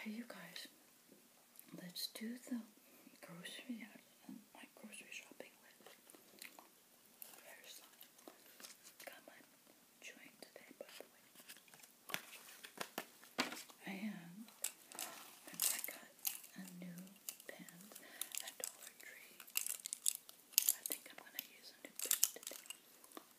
Hey, you guys, let's do the grocery, my grocery shopping list. There's got today, by the I got a new pen at Dollar Tree. I think I'm going to use a today.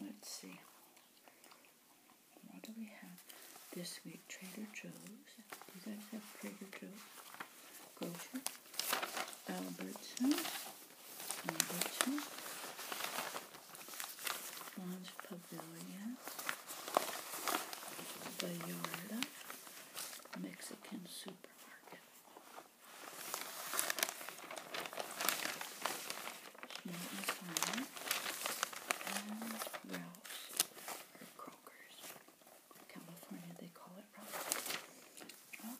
Let's see. What do we have this week? Trader Joe's. Do You guys have Trader Joe's. Grocer. Albertsons. Albertsons. Lawns Pavilion. Vallarta. Mexican Supermarket and Ralph's or Kroger's. California, they call it Ralph's. I'm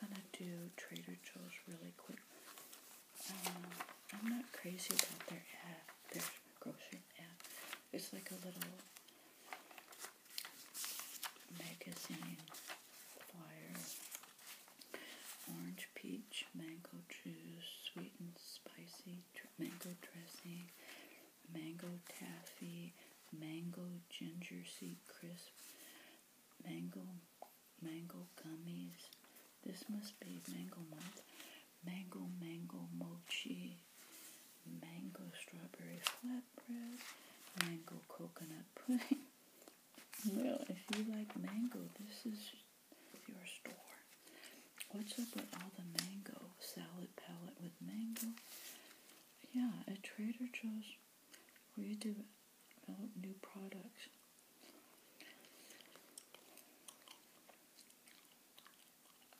gonna do Trader Joe's really quick. I'm not crazy about their ad, their grocery ad. It's like a little magazine flyer orange peach mango juice, sweet and spicy mango dressing, mango taffy, mango ginger seed crisp, mango mango gummies. This must be mango month. Mango mango mochi, mango strawberry flatbread, mango coconut pudding. Well, if you like mango, this is your store. What's up with all the mango salad palette with mango? Yeah, at Trader Joe's, what are you doing? new products.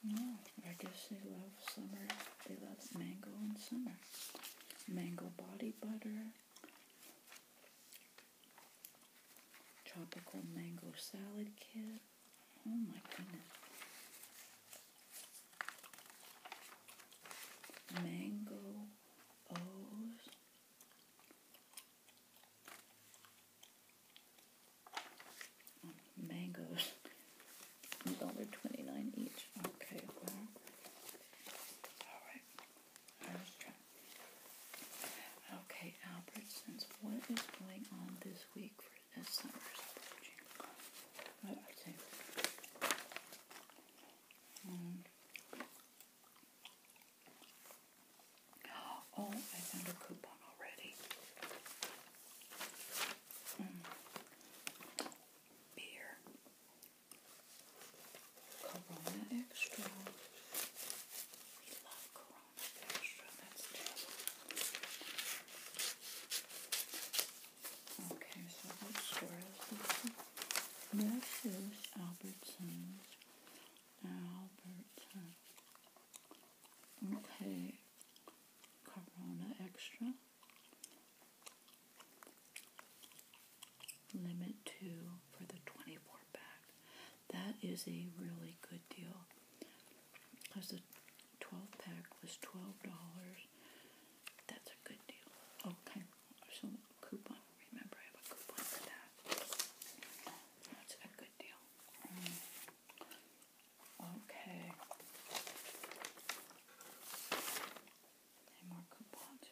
No, I guess they love summer. They love mango in summer. Mango body butter. Tropical mango salad kit. Oh my goodness. Um, mangoes. O's. Oh, mangoes. each. Okay, well. Alright. Irish trap. Okay, Albertsons, what is going on this week for this summer's approaching? Well, let's see. Mm. Oh, I found a coupon already. Mm. Beer. Corona Extra. We love Corona Extra. That's terrible. Okay, so what store this? This is Albertsons. Albertsons. Okay. Corona Extra limit two for the 24 pack. That is a really good deal because the 12 pack was $12. That's a good deal. Okay, oh, so coupon. Remember, I have a coupon for that. That's a good deal. Um, okay. Any more coupons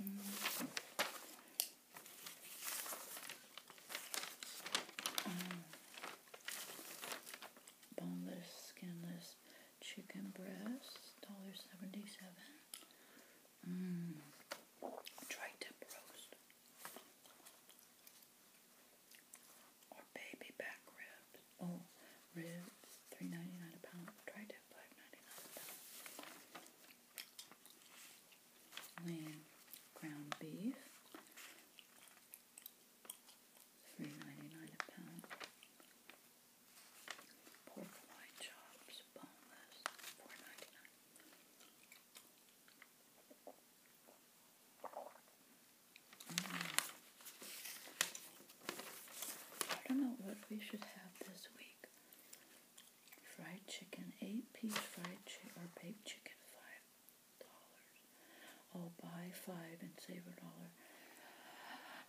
Mm. Um, boneless, skinless chicken breast, dollar seventy-seven. Mmm. Tri-tip roast. Or baby back ribs. Oh, ribs, three ninety nine a pound. Try to five ninety nine a pound. Lean ground beef, three ninety nine a pound. Pork loin chops, boneless, four ninety nine. Mm. I don't know what we should have this week. Fried chicken, eight piece fried chicken or baked chicken, five dollars. Oh, buy five and save a dollar.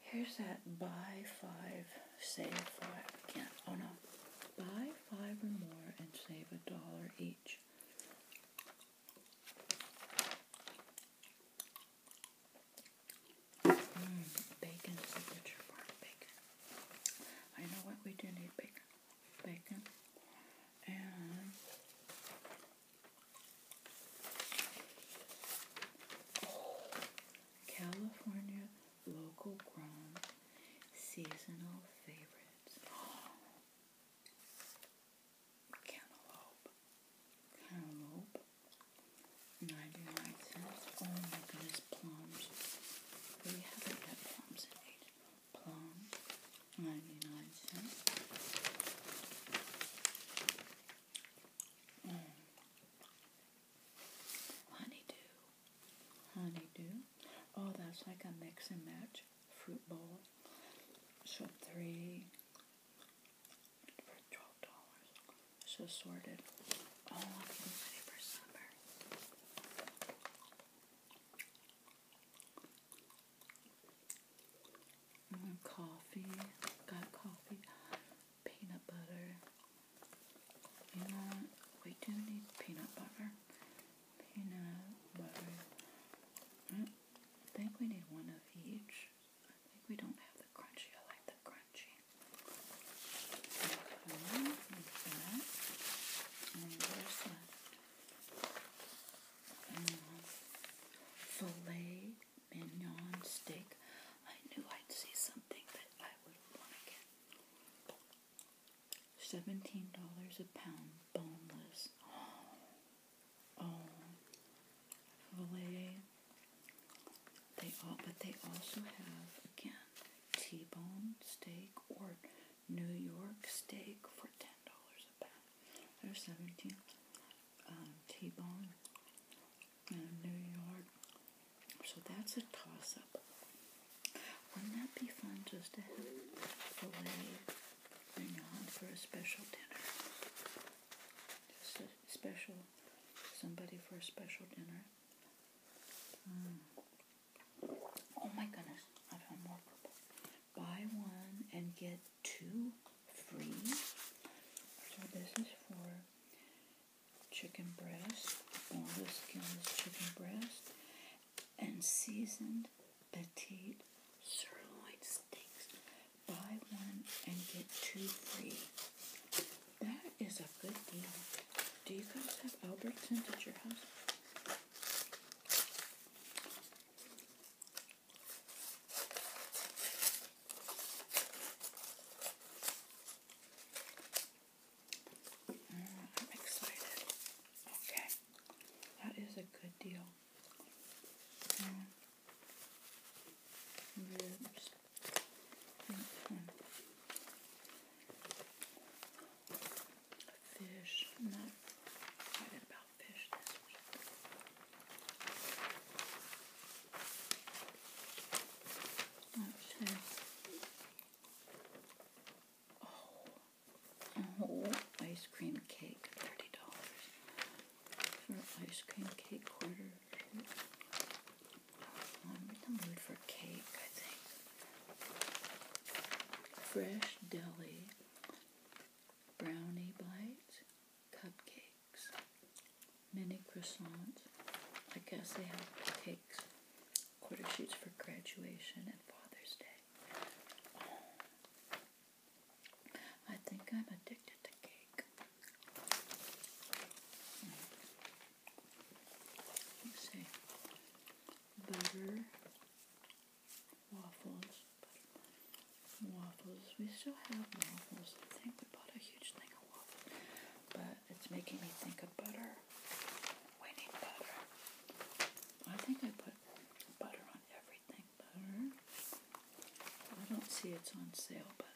Here's that buy five, save five. can't. Oh no, buy five or more and save a dollar each. Mm, bacon is bacon. I know what we do need bacon. Bacon and California local grown seasonal favorites. Cantaloupe. Cantaloupe. And I Oh my goodness, plums. We haven't got plums in it. Plum, 99 cents. Mm. Honeydew. Honeydew. Oh, that's like a mix and match fruit bowl. So three for twelve dollars. So sorted. Oh, I'm getting ready for summer. Mm, coffee. Got coffee. Peanut butter. You know, we do need peanut butter. Peanut butter. Mm, I think we need one of each we don't have the crunchy. I like the crunchy. And there's the mm-hmm. filet mignon steak. I knew I'd see something that I would want to get. Seventeen dollars a pound, boneless. oh, filet they all, but they also have again T-bone steak or New York steak for ten dollars a pound There's seventeen. Um, T-bone and New York, so that's a toss-up. Wouldn't that be fun just to have filet mignon for a special dinner? Just a special, somebody for a special dinner. Mm. Oh my goodness, I found more purple. Buy one and get two free. So this is for chicken breast, all the chicken breast, and seasoned petite sirloin steaks buy one and get two free. That is a good deal. Do you guys have Albertsons at your house? I'm excited. Okay. That is a good deal ribs. Fish. not excited about fish this week. Okay. Oh, oh ice cream cake, thirty dollars for ice cream cake quarter. Um, I'm in the mood for cake, I think. Fresh deli brownie bites, cupcakes, mini croissants. I guess they have cakes, quarter sheets for graduation and Father's Day. I think I'm addicted to the Butter waffles. waffles. We still have waffles. I think we bought a huge thing of waffles. But it's making me think of butter. We need butter. I think I put butter on everything. Butter. I don't see it's on sale, but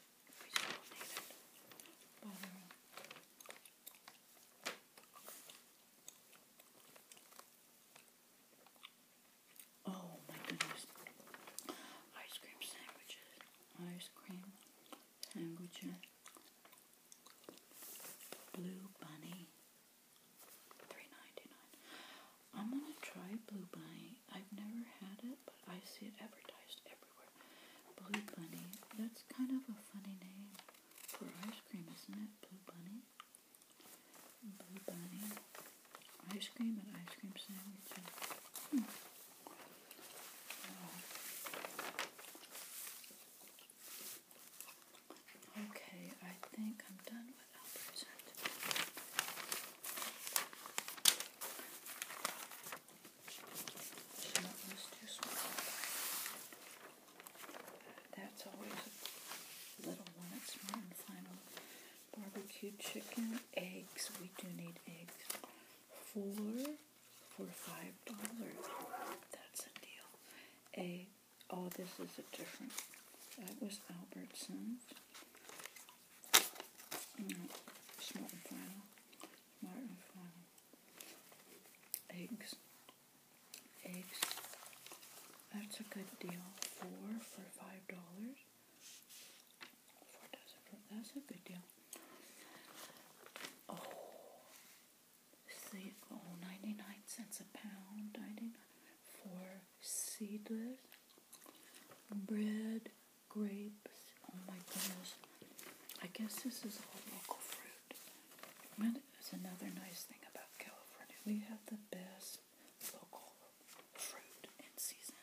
Oh my goodness. Ice cream sandwiches. Ice cream sandwiches. Blue Bunny. 3 I'm gonna try Blue Bunny. I've never had it, but I see it advertised everywhere. Blue Bunny. That's kind of a funny name for ice cream, isn't it? Blue Bunny. Blue Bunny. Ice cream and ice cream sandwiches. Hmm. Okay, I think I'm done with Albert's. That's always a little one. It's more than final. Barbecue chicken, eggs. We do need eggs. Four for five dollars. That's a deal. A oh, this is a different. That was Albertsons. Mm, final. Smart final. Eggs. Eggs. That's a good deal. Four for five dollars. Four dozen that's a good deal. Oh see oh 99 cents a pound. 99 for seedless bread grapes. Oh my goodness. I guess this is all local fruit. That is another nice thing about California. We have the best local fruit in season.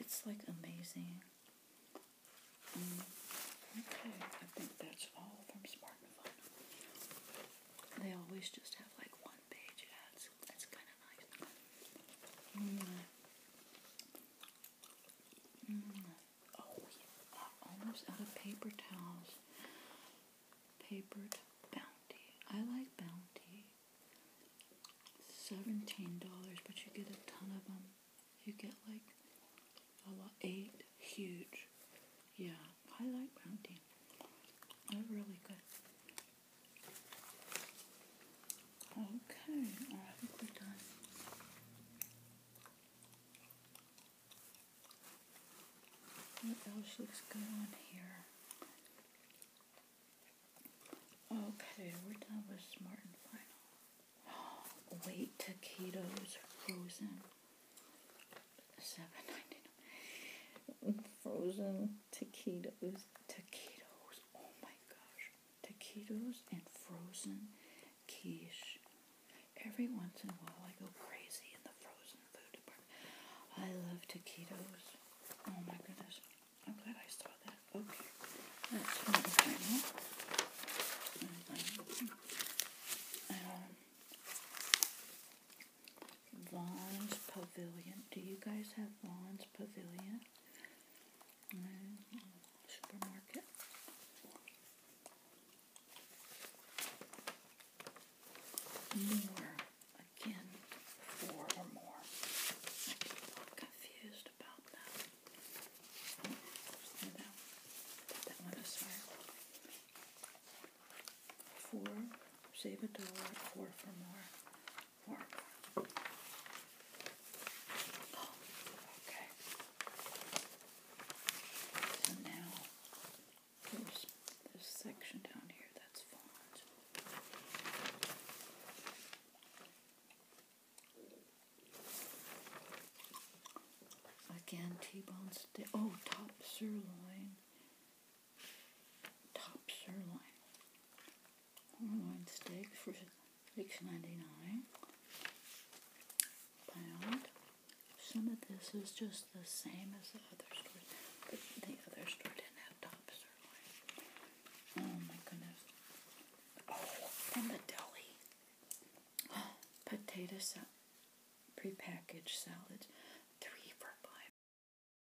It's like amazing. Mm, okay, I think that's all from Smart and They always just have like one. Mm. Mm. Oh, uh, almost out of paper towels. Papered Bounty. I like Bounty. Seventeen dollars, but you get a ton of them. You get like a lot, eight huge. Yeah, I like Bounty. really good. Okay, I'll have a good What else looks good on here? Okay, we're done with Smart and Final. Wait, taquitos frozen. Seven ninety nine. Frozen taquitos. Taquitos. Oh my gosh. Taquitos and frozen quiche. Every once in a while I go crazy in the frozen food department. I love taquitos. Oh my goodness. I'm glad I saw that. Okay. That's fun. Um, um Vaughn's Pavilion. Do you guys have Vaughn's Pavilion? Supermarket. More. Again, four or more. I get confused about that. Oh, that, that one aside. Four, save a dollar, four for more okay. So now there's this section down here that's font. Again, T-bone steak. Oh, top sirloin. Top sirloin. Sirloin steak for six ninety nine. Pound. Some of this is just the same as the other store, but the other store didn't have top sirloin. Oh my goodness! from oh, the deli. potato salad, prepackaged salad, three for five.